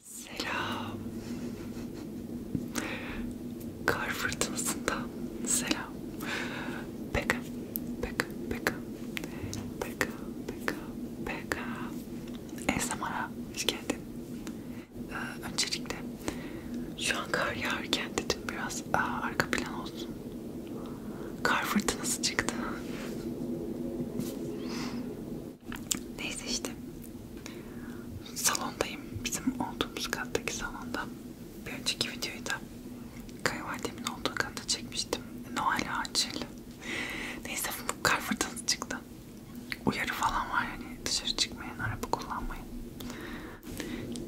Selam. Kar fırtınasında selam. Peka, peka, peka, peka, peka, peka. Esmara hoş geldin. Ee, öncelikle şu an kar yağarken dedim biraz aa, arka plan olsun. Kar fırtınası çıktı. Neyse işte salondayım. Bizim olduğumuz kattaki salonda. Bir önceki videoyu da kayınvalidemin olduğu katta çekmiştim. Noel ağacıyla. Neyse bu kar fırtınası çıktı. Uyarı falan var yani dışarı çıkmayın, araba kullanmayın.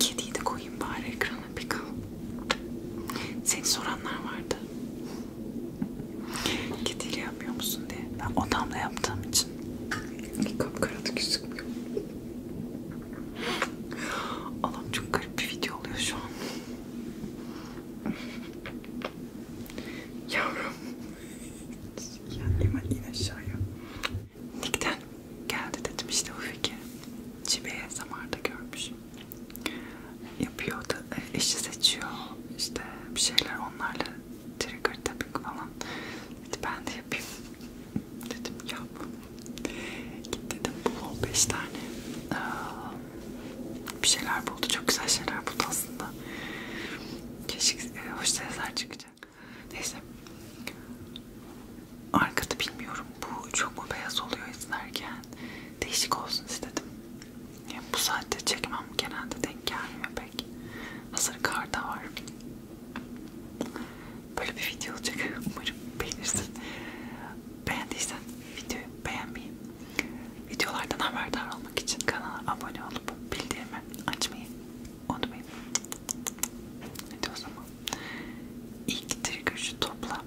Kediyi de koyayım bari ekrana bir kal. Seni soranlar vardı. Kediyle yapmıyor musun diye. Ben odamda yaptığım için. Kapkaradı gözükmüyor. Allah'ım çok garip bir video oluyor şu an. Yavrum. Yani in aşağıya. Nick'ten geldi dedim işte o fikir. Cibe'ye Samar'da görmüş. Yapıyordu eşi seçiyor işte bir şeyler onlarla trigger tapping falan dedi ben de yapayım dedim yap git dedim bul 5 tane bir şeyler buldu çok güzel şeyler buldu aslında keşke e, hoş sesler çıkacak neyse arkada bilmiyorum bu çok mu beyaz oluyor izlerken değişik olsun istedim yani bu saatte çekmem genelde denk gelmiyor pek. Hazır kar da var. Böyle bir video olacak. Umarım beğenirsin. Beğendiysen videoyu beğenmeyi, videolardan haberdar olmak için kanala abone olup bildirimi açmayı unutmayın. Hadi o zaman. İlk trigger şu topla.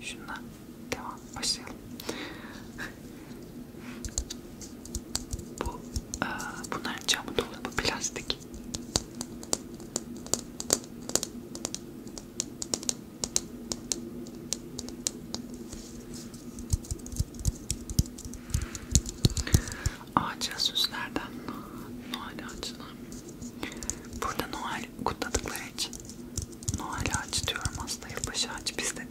Şundan devam başlayalım. Bu e, bunların camı dolabı plastik. Ağaca süslerden Noel ağacına. Burada Noel kutladıkları için Noel ağacı diyorum aslında yılbaşı ağacı bizde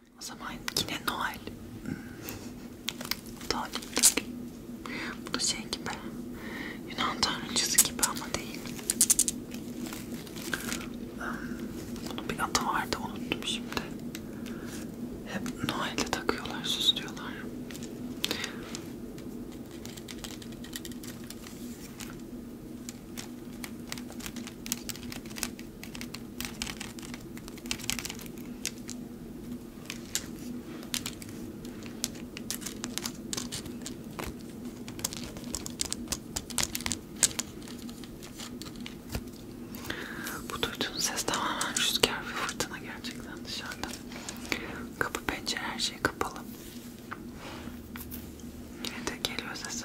O zaman yine Noel. Talimdir. Hmm. Bu da şey gibi. Yunan tanrıcısı gibi ama değil. Hmm. Bunun bir adı vardı unuttum şimdi. Hep Noel'de takıyorlar, süslüyorlar. Bu duyduğunuz ses tamamen rüzgar ve fırtına gerçekten dışarıda. Kapı, pencere her şey kapalı. Yine de geliyor sesi.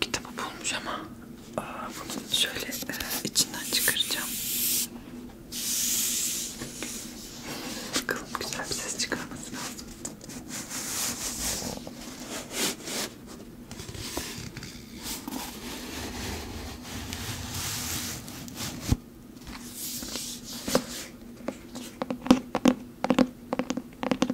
Kitabı bulmuş ama Aa, bunu şöyle e, içinden çıkaracağım. Bakalım güzel bir ses çıkarması lazım.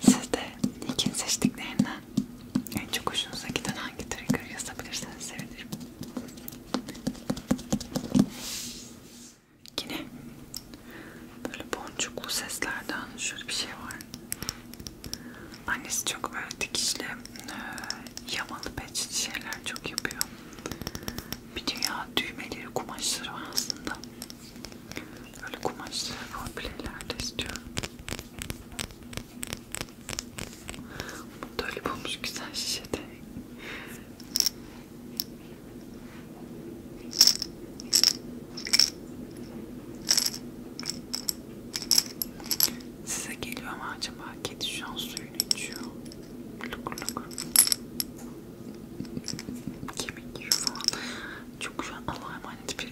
Siz de Nick'in seçtiklerinden en çok hoşunuza giden hangi trigger yazabilirseniz sevinirim. Yine böyle boncuklu seslerden şöyle bir şey var. Annesi çok böyle dikişli, e, yamalı peçeli şeyler çok yapıyor. Bir dünya düğmeleri, kumaşları var aslında. Böyle kumaşlı kombineler de istiyorum. Böyle bulmuş güzel şişede. Size geliyor ama acaba kedi şu an suyunu içiyor. Lukur lukur. Kemik gibi falan. Çok şu an Allah'a emanet bir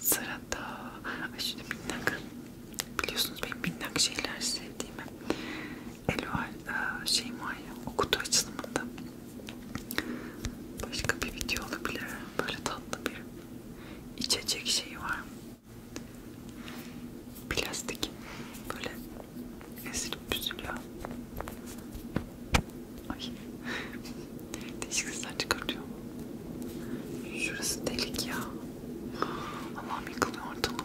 Sırada Ay şimdi minnak biliyorsunuz benim minnak şeyler sevdiğimi Elual e, şey var ya o kutu açılımında başka bir video olabilir böyle tatlı bir içecek şeyi var Plastik böyle ezilip büzülüyor. Ay. Değişik sesler çıkartıyor. Şurası delik ya. Allah'ım yıkılıyor ortalık.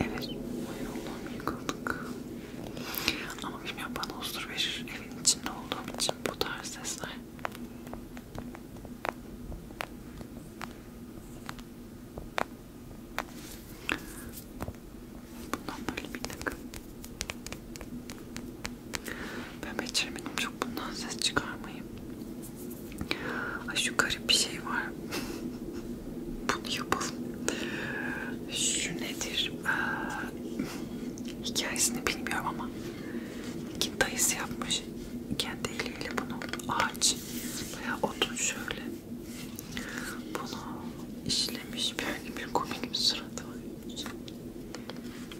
Evet, hayır Allah'ım yıkıldık. Ama bilmiyorum bana huzur verir evin içinde olduğum için bu tarz sesler. Bundan böyle bir takım ben beceremedim çok bundan ses çıkarmayayım. Ay şu garip bir şey var. Bunu yapalım. Şu nedir? Ee, hikayesini bilmiyorum ama iki dayısı yapmış kendi eliyle bunu. Ağaç. Bayağı odun şöyle. Bunu işlemiş. Böyle bir komik bir suratı var.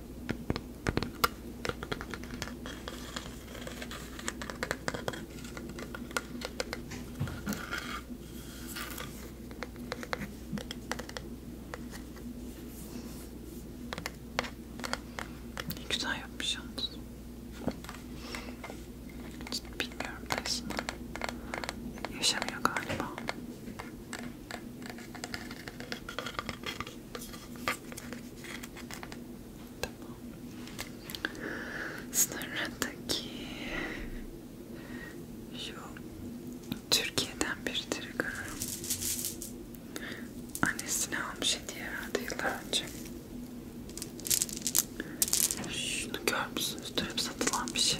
Ne güzel yapmış yalnız. Hiç bilmiyorum da aslında. Yaşamıyor galiba. Tamam. Sonradaki şu Türkiye'den biridir görüyorum. Annesine almış hediye herhalde yıllar önce. Şunu görmüşsünüz. Dönüp satılan bir şey.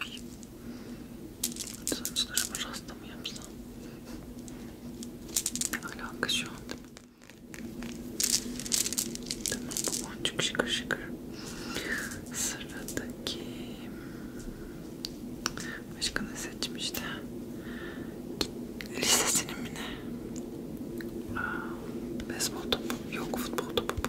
Ay. Saçlarımı rasta mı yapsam? Ne alaka şu anda? Tamam bu boncuk şıkır şıkır. Sıradaki... Başka ne seçmişti? Lisesinin mi ne? Aa, baseball topu. Yok futbol topu.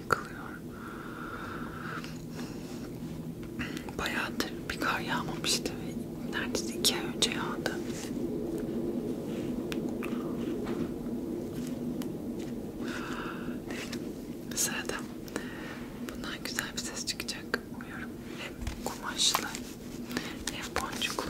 yıkılıyor. Bayağıdır bir kar yağmamıştı ve neredeyse iki ay önce yağdı. Sırada bundan güzel bir ses çıkacak umuyorum. Hem kumaşlı hem boncuklu.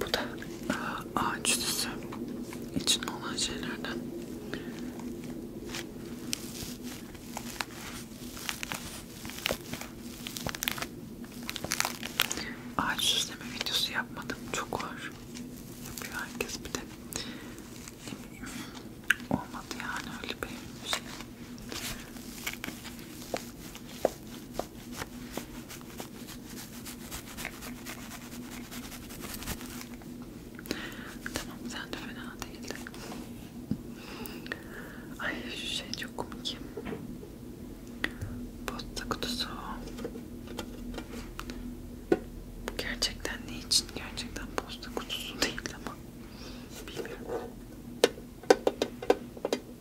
Bu da e, ağaç süsü içinde olan şeylerden. Ağaç süsleme videosu yapmadım. Çok var. Yapıyor herkes bir de. Olmadı yani öyle bir şey. Tamam sen de fena değildi. Ay şu şey çok komik. Posta kutusu. Gerçekten ne için? Gerçekten posta kutusu değil ama bilmiyorum.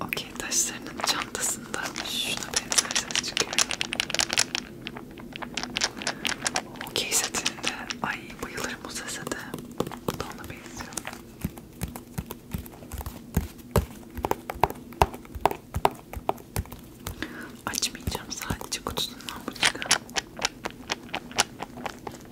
Okey taşlarının çantasında şuna benzer ses çıkıyor. Okey setinde ay bayılırım bu sese de. Bu da ona benziyor. Açmayacağım sadece kutusundan bu çıkan.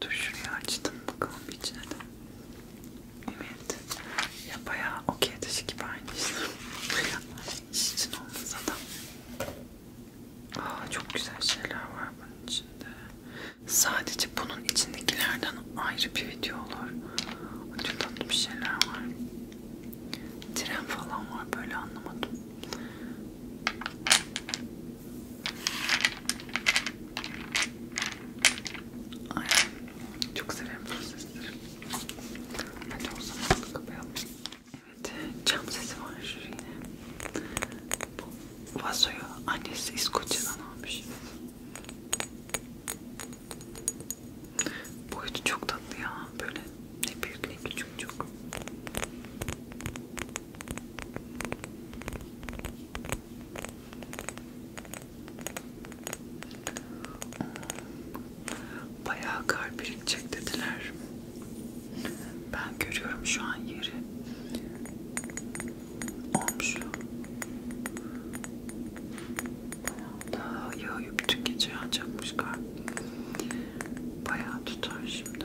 Dur şurayı açtım bakalım içine de. Evet. Ya bayağı okey taşı gibi aynı işte. İş için olmasa da. Aa, çok güzel şeyler var bunun içinde. Sadece bunun içindekilerden ayrı bir video olur. Çok tatlı bir şeyler var. Tren falan var böyle anlamadım. Ay, çok severim bu sesleri. Hadi o zaman kapayalım. Evet, cam sesi var yine. Bu vazoyu annesi İskoçya'dan almış. Boyutu çok tatlı ya. Böyle ne büyük ne küçük çok. Hmm. Bayağı kar birikecek dediler. Ben görüyorum şu an yeri. Olmuş. Daha yağıyor bütün gece yağacakmış kar. Bayağı tutar şimdi.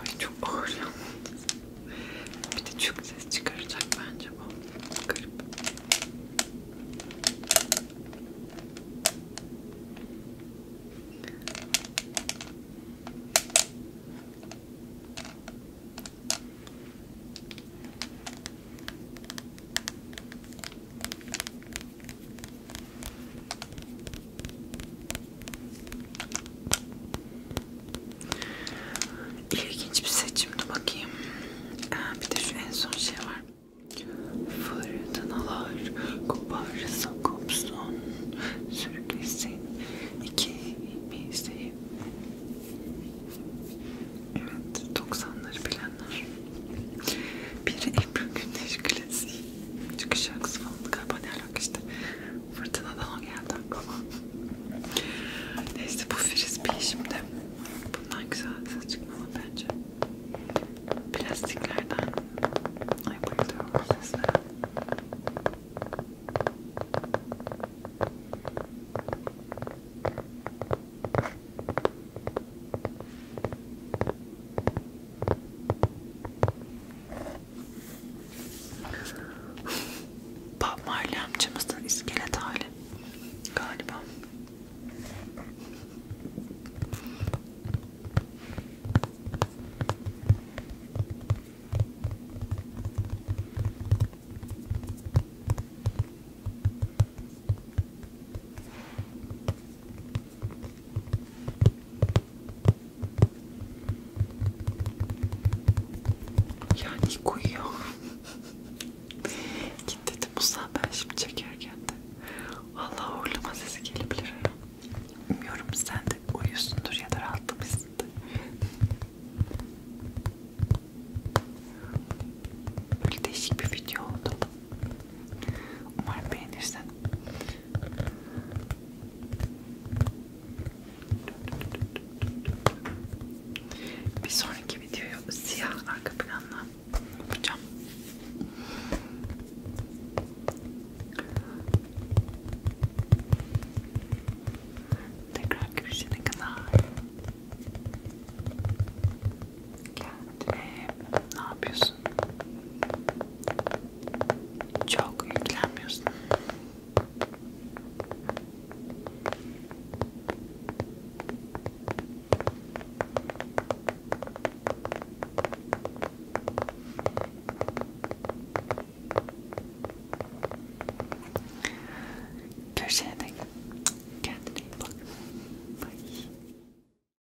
Ay çok ağır yalnız. Bir de çok ses çıkaracak bence bu. Garip. İlginç bir seçimdi bakayım. Ee, bir de şu en son şey var. Fırtınalar koparsa kopsun sürüklesin ikimizi. Evet 90'ları bilenler. Biri Ebru Gündeş klasiği. Çıkış şarkısı falan galiba ne alaka işte. Fırtınadan o geldi aklıma. Neyse bu frisbee şimdi. Bundan güzel ses çıkmalı bence. Plastiklerden. Ay bayılıyorum bu seslere. Böyle Bob Marley amcamızın iskelet hali galiba. Ya Nick uyuyor. Git dedim Musa ben şimdi çekerken de. Valla uğurlama sesi gelebilir. Bilmiyorum sen de uyusundur ya da rahatlamışsındır. Böyle değişik bir video oldu. Umarım beğenirsin. Bir sonraki videoyu siyah arka planla yapacağım. Tekrar görüşene kadar. Kendine ne yapıyorsun? Çok yüklenmiyorsun. Görüşene dek kendine iyi bak. Bye.